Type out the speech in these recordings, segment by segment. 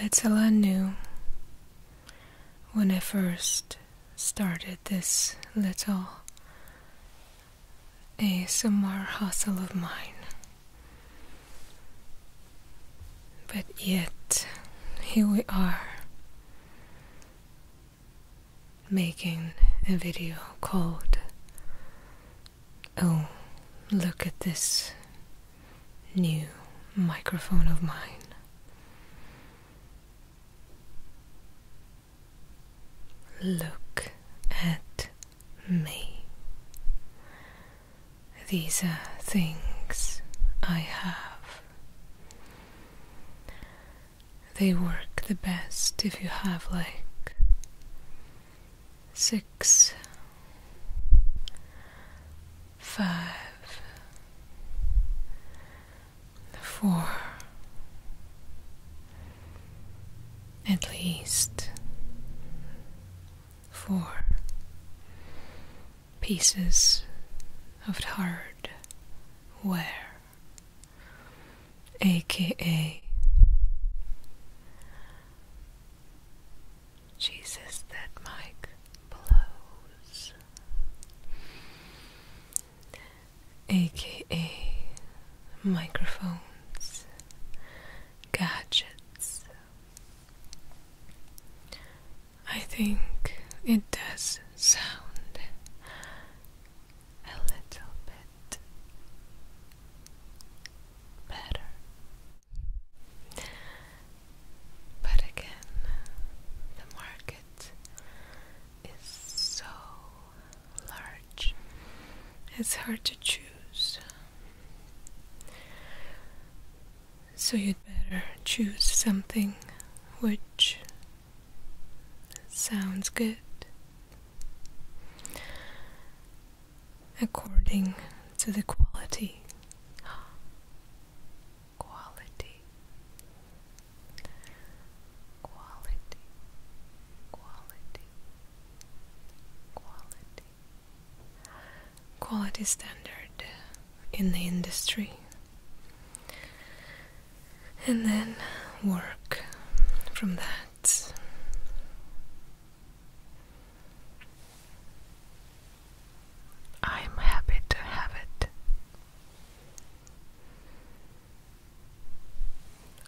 Little I knew when I first started this little a ASMR hustle of mine. But yet, here we are, making a video called Oh, look at this new microphone of mine. Look at me. These are things I have. They work the best if you have like six, five, four, at least four pieces of hard ware aka Jesus, that mic blows, aka microphones, gadgets. I think it does sound a little bit better. But again, the market is so large, it's hard to choose. So, you'd better choose something which Sounds good. According to the quality. Quality. Quality. Quality. Quality. Quality standard in the industry and then work from that. I'm happy to have it.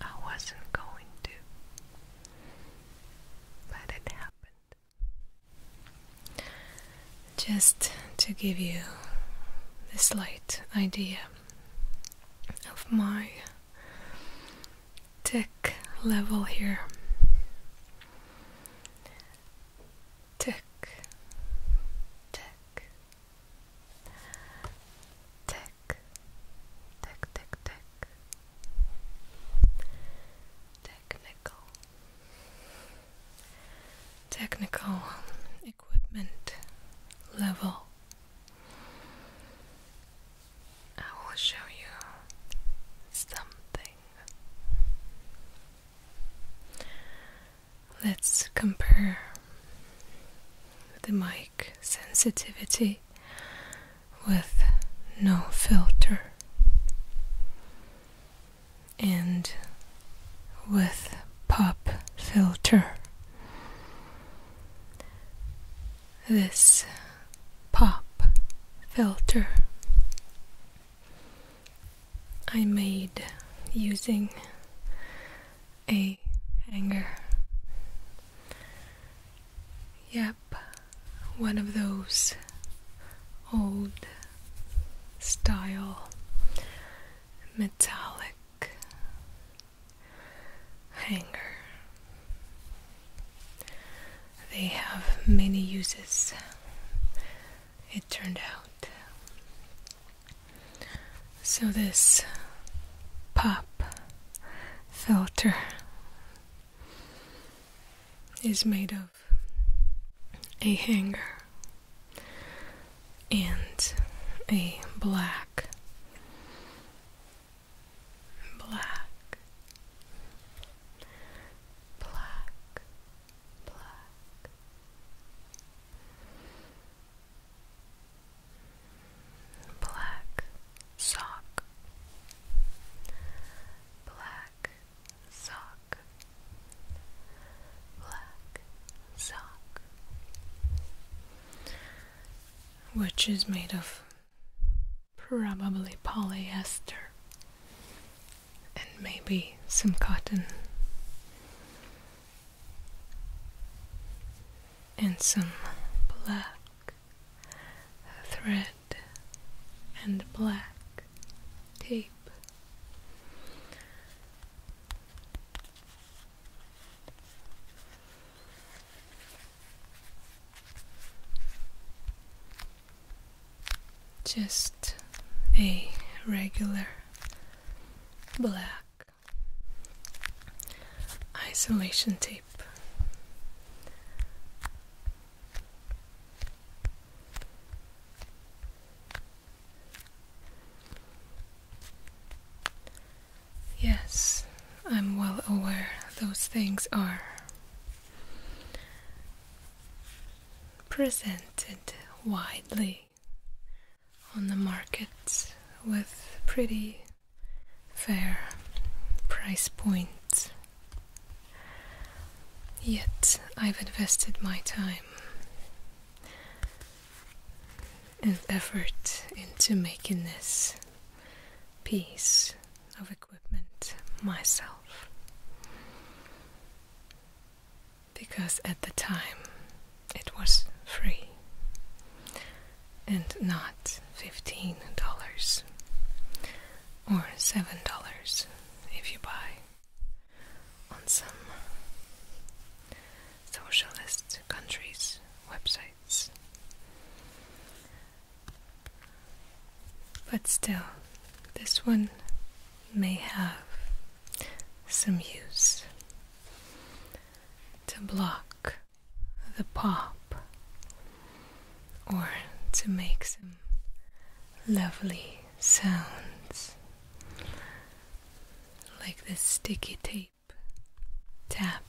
I wasn't going to, but it happened. Just to give you the slight idea of my tech level here. Tech, tech, tech, tech, tech, tech, technical, technical equipment level. I will show you something. Let's compare the mic sensitivity with no filter and with pop filter. This pop filter I made using a hanger. Yep, one of those old style metallic hanger. They have many uses, it turned out. So, this pop filter is made of a hanger and a black black black black black sock black sock black sock, which is made of probably polyester and maybe some cotton and some black thread and black tape. Just a regular black isolation tape. Yes, I'm well aware those things are presented widely on the markets with pretty fair price points. Yet I've invested my time and effort into making this piece of equipment myself. Because at the time it was free and not $15 or $7 if you buy on some socialist countries' websites. But still, this one may have some use to block the pop or to make some lovely sounds like this sticky tape tapping.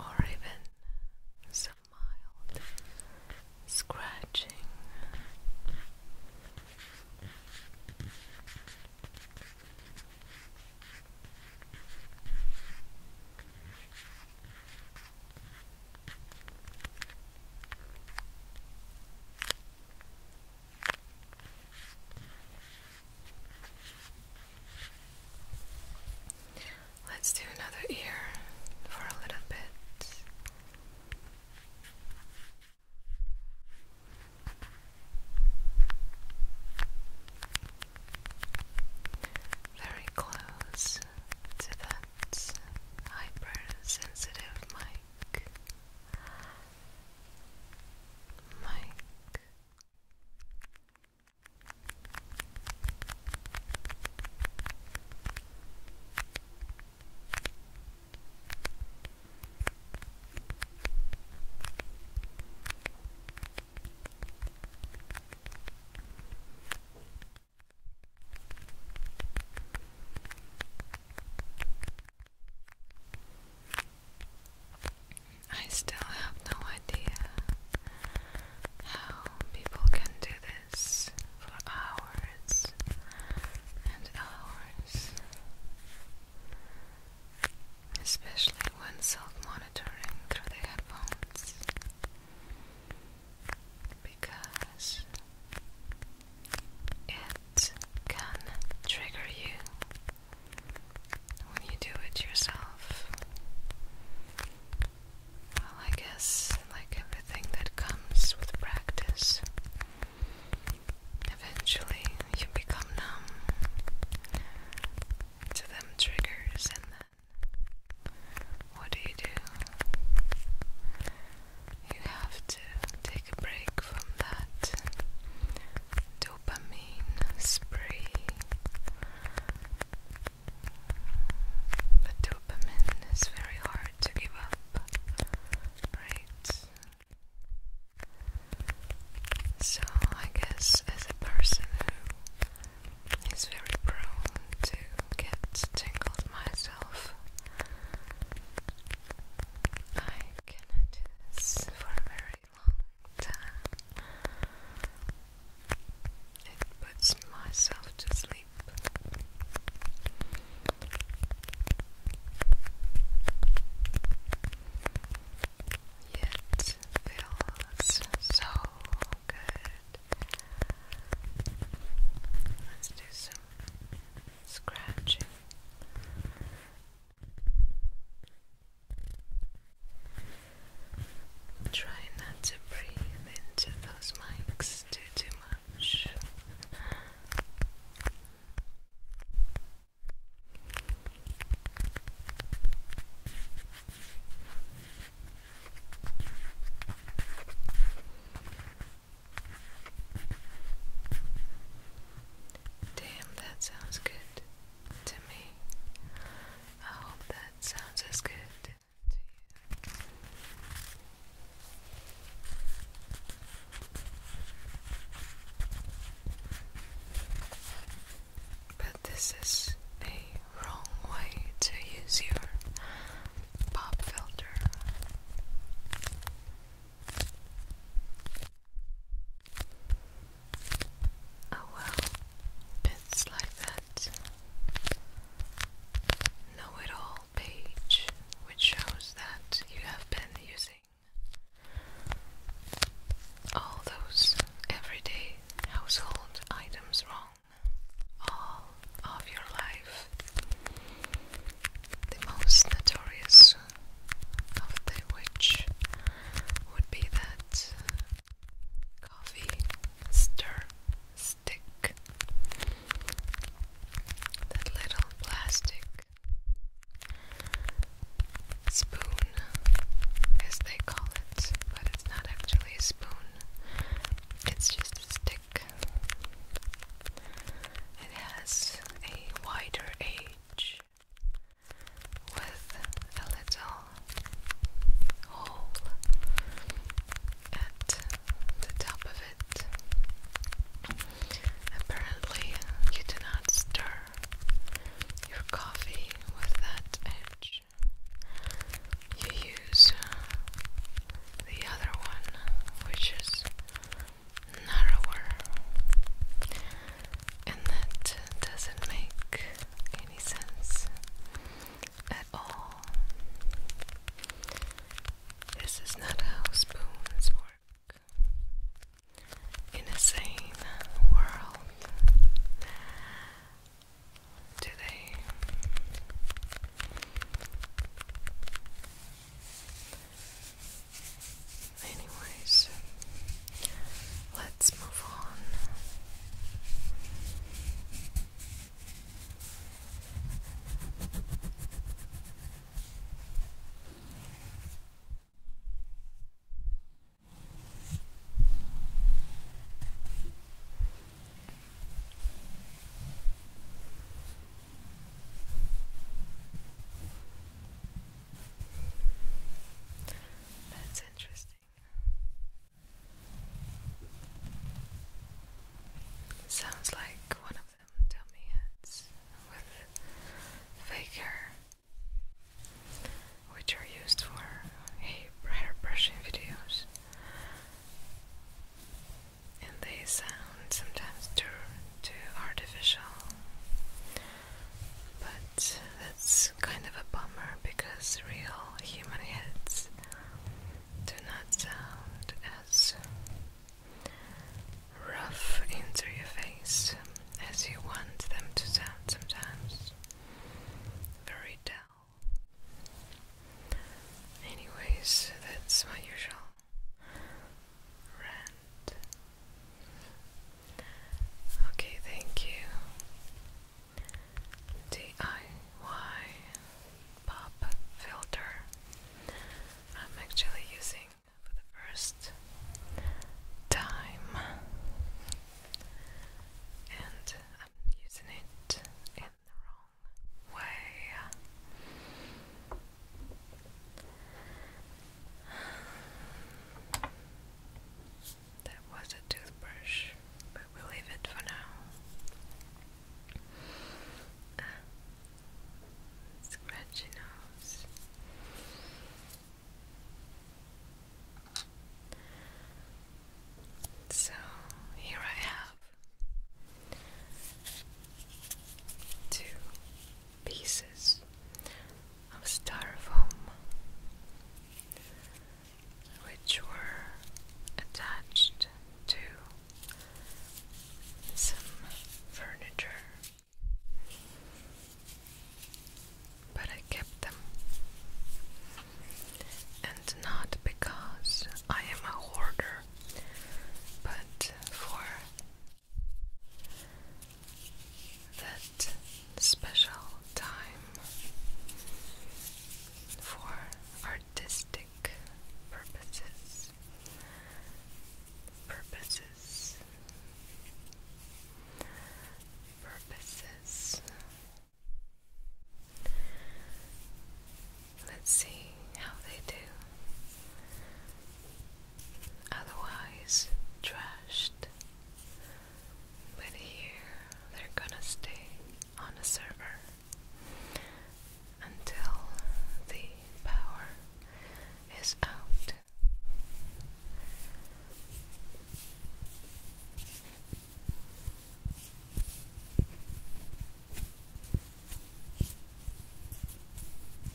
or even some mild scratching. Let's do another ear for a little bit. Very close to that hypersensitive mic. Mike Mike I still have no idea how people can do this for hours and hours, especially when self monitoring through the headphones because it can trigger you when you do it yourself. Well, I guess, like everything that comes with practice, eventually you become numb to them triggers, and what do you do? you have to take a break from that dopamine spree. But dopamine is very hard to give up, right? So, I guess as a person who is very prone to get tingled myself, I cannot do this for a very long time. It puts myself to sleep. Yet feels so good. Let's do some scratching. Try not to breathe into those mics too too much. Damn, that sounds good to me. I hope that sounds as good to you. But this is a wrong way to use your pop filter. Oh well, bits like that. Know it all page, which shows that you have been using all those everyday household items wrong all of your life. The most notorious of which would be that uh, coffee stir stick, that little plastic spoon, as they call it, but it's not actually a spoon, it's just a stick. It has a wider edge with a little hole at the top of it. Apparently, you do not stir your coffee with that edge. You use the other one, which is narrower, and that doesn't make any sense at all. This is not how spoons work. In a sane world today, Anyways, let's move on. That's interesting. Sounds like one of them dummy heads with fake hair, which are used for hair brushing videos and they sound sometimes too, too artificial. But that's kind of a bummer because real human heads do not sound as rough into your face as you want them to sound sometimes. Very dull. Anyways, that's my usual Rent. Okay, thank you. DIY pop filter. I'm actually using for the first time, and I'm using it in the wrong way. That was a toothbrush, but we'll leave it for now. Uh, scratchy nose. So here I have two pieces of styrofoam which were attached to some furniture, but I kept them, and not because I am a hoarder, but for that special time for artistic purposes. Purposes. Purposes. Let's see how they do otherwise trashed. But here they're gonna stay on the server until the power is out.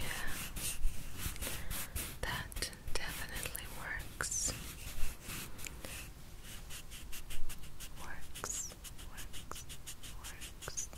Yeah, that definitely works. Works, works, works.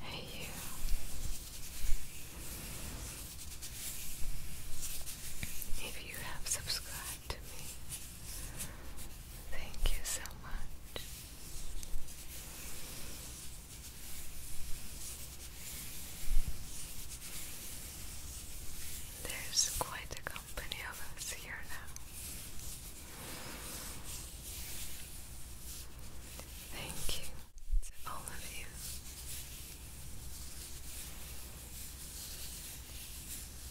Hey, you. If you have subscribed to me, thank you so much. There's quite a many of us here now. Thank you to all of you.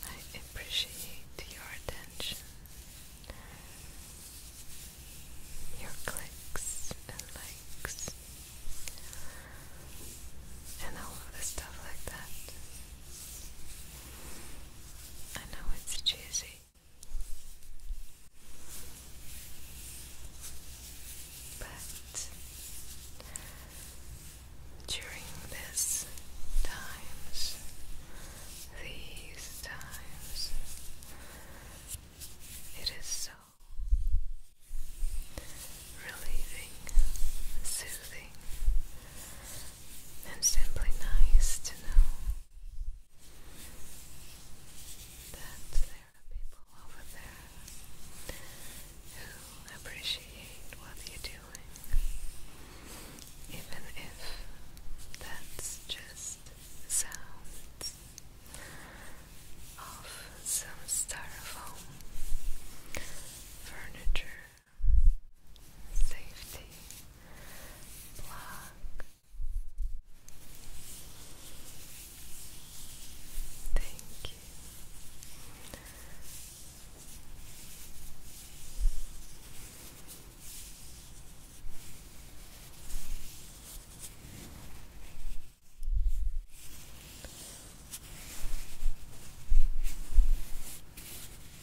I appreciate your attention, your clicks and likes, and all of the stuff like that. I know it's cheesy, but during these times, these times, it is so relieving, soothing and simply nice to know that there are people over there who appreciate what you're doing, even if that's just sounds of some styrofoam furniture safety block. Thank you.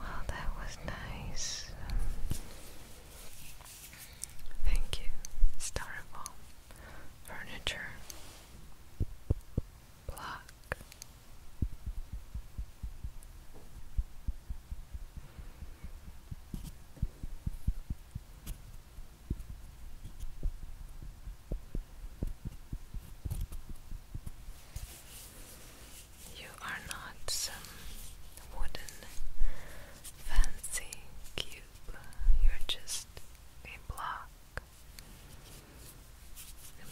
Well, that was nice. thank you, Starable Furniture. You are not some wooden fancy cube, you're just a block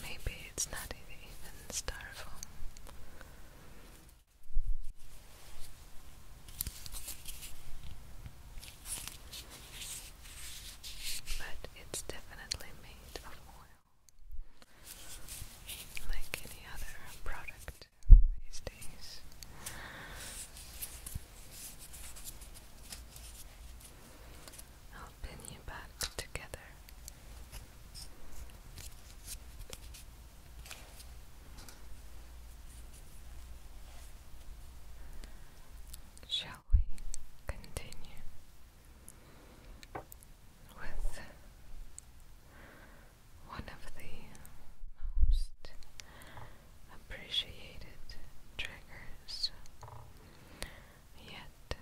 maybe it's not even styrofoam. But it's definitely made of oil, like any other product these days. I'll pin you back together Shall we continue with one of the most appreciated triggers Yet,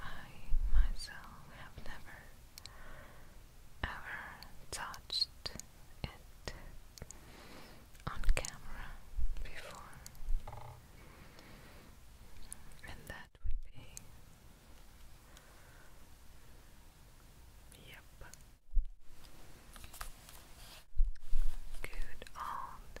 I myself have never ever touched it on camera before, and that would be. Yep. Good old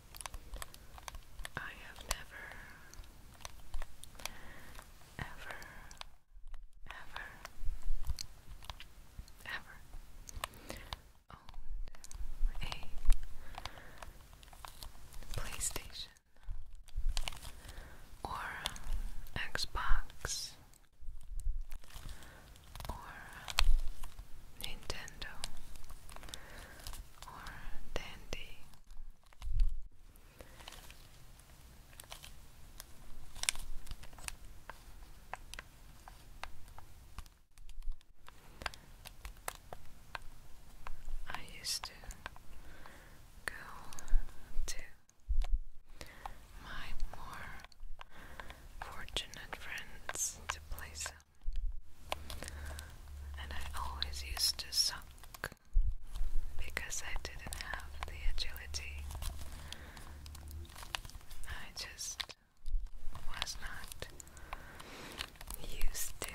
I have never, ever, ever, ever owned a PlayStation or Xbox or Nintendo or dandy. I used to go to my more fortunate friends to and I always used to suck because I didn't have the agility. I just was not used to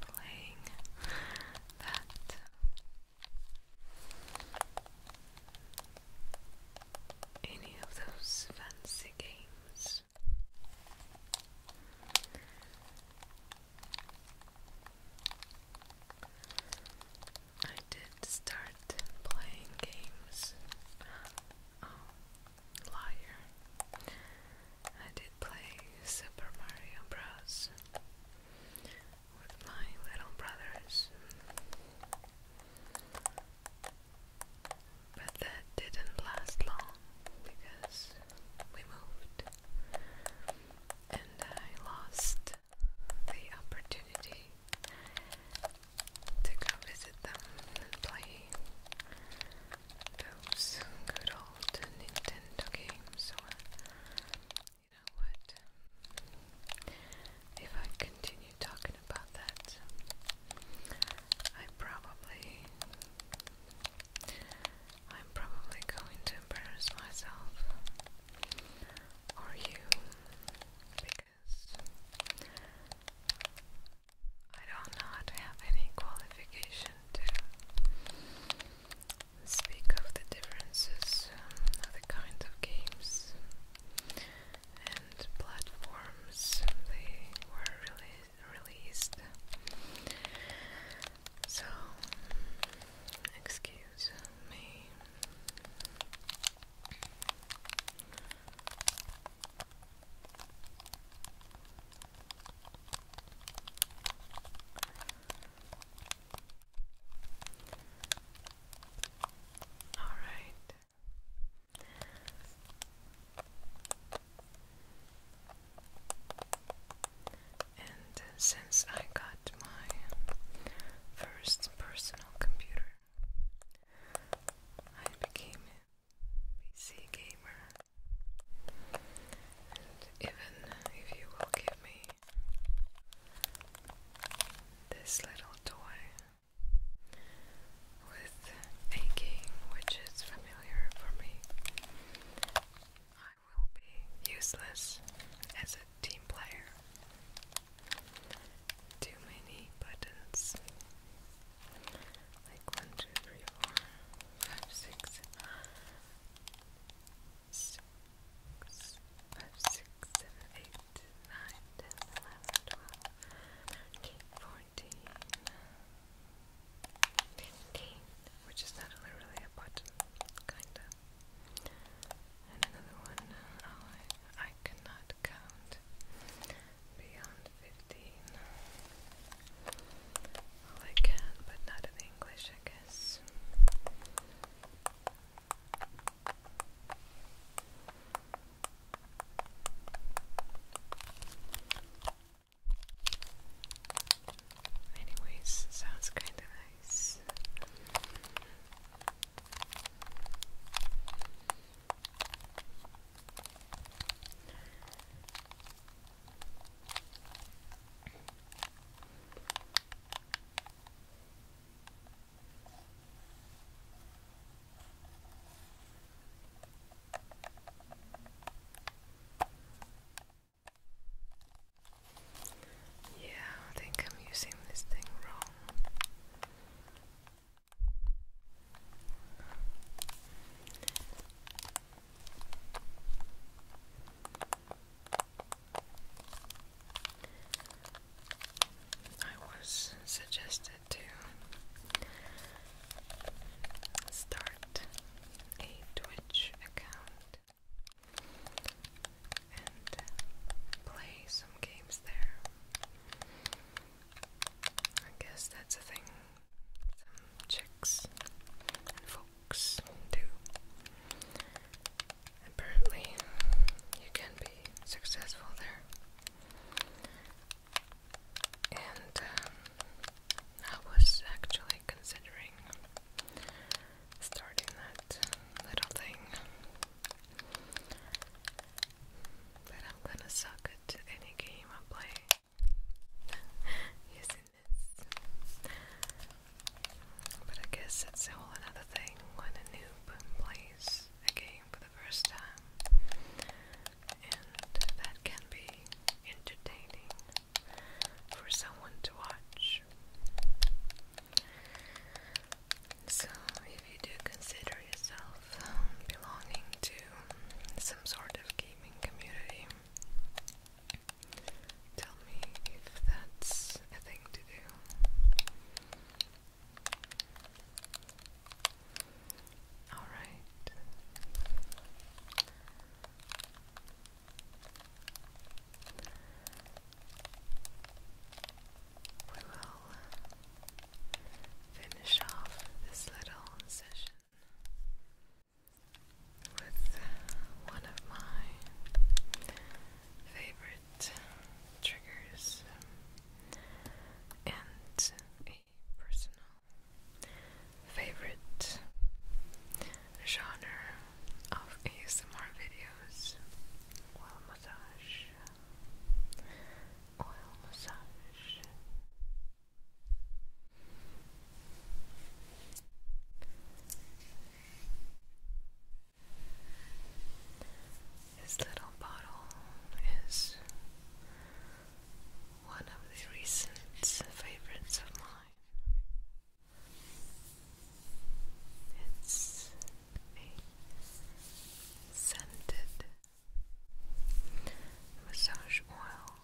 playing that. Any of those fancy games I did start playing games. Oh, liar. I did play Super Mario Bros. with my little brothers. But that didn't last long because we moved and I lost the opportunity to go visit them and play those good old Nintendo games or you know what if I continue talking about that. I probably I'm probably going to embarrass myself or you because I don't not have any qualification to speak of the differences um, of the kinds of games and platforms they were rele released. So, excuse me. All right since I got my first personal computer, I became a PC gamer. And even if you will give me this little toy, with aching, which is familiar for me. I will be useless as a team player. Too many buttons. Like one, two, three, four, five, six, six, five, six, seven, eight, nine, ten, eleven, twelve, thirteen, fourteen. 15, which is not only really a button, another one, oh, I, I cannot count beyond 15. Well, I can, but not in English, I guess. Anyways, sounds kinda nice. Yeah, I think I'm using this thing wrong. I was suggested to start a Twitch account and play some games there. I guess that's a thing some chicks and folks do. Apparently, you can be successful there and um, I was actually considering starting that little thing, but I'm gonna suck at any game I play using But I guess it's a whole another thing when a noob plays a game for the first time and that can be entertaining for someone to watch. So, if you do consider yourself um, belonging to some sort of gaming community, tell me if that's a thing to do. All right. We will finish off this little session with one of my favorite triggers and a personal favorite genre of ASMR videos oil massage this little bottle is one of the recent favorites of mine. It's a scented massage oil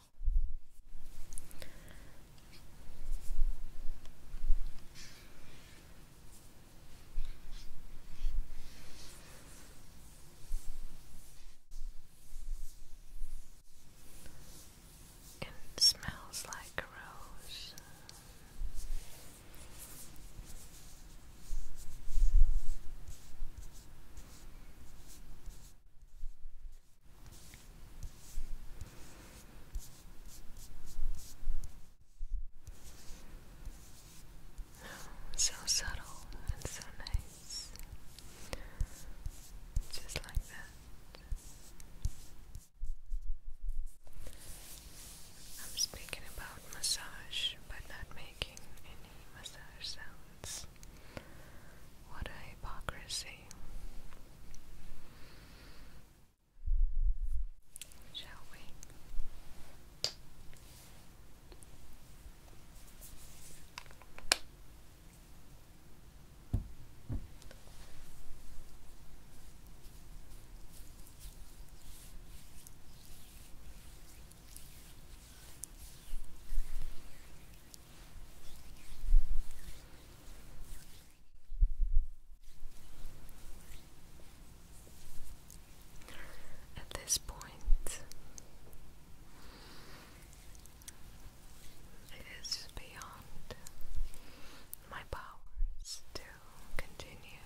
and it smells like a rose. So subtle and so nice. Just like that. I'm speaking about massage but not making any massage sounds. What a hypocrisy. Shall we? At this point, it is beyond my powers to continue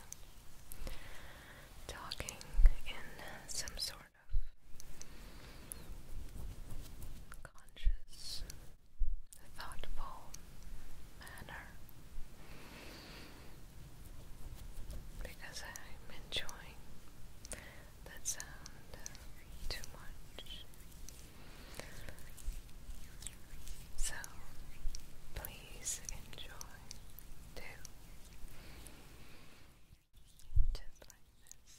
talking in some sort of conscious, thoughtful manner because I'm enjoying that sound too much. So please enjoy too. Just like this.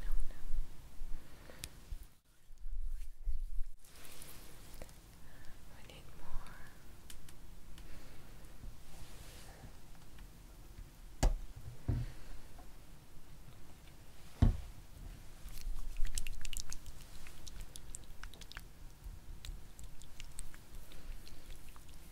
no. We need more. Okay.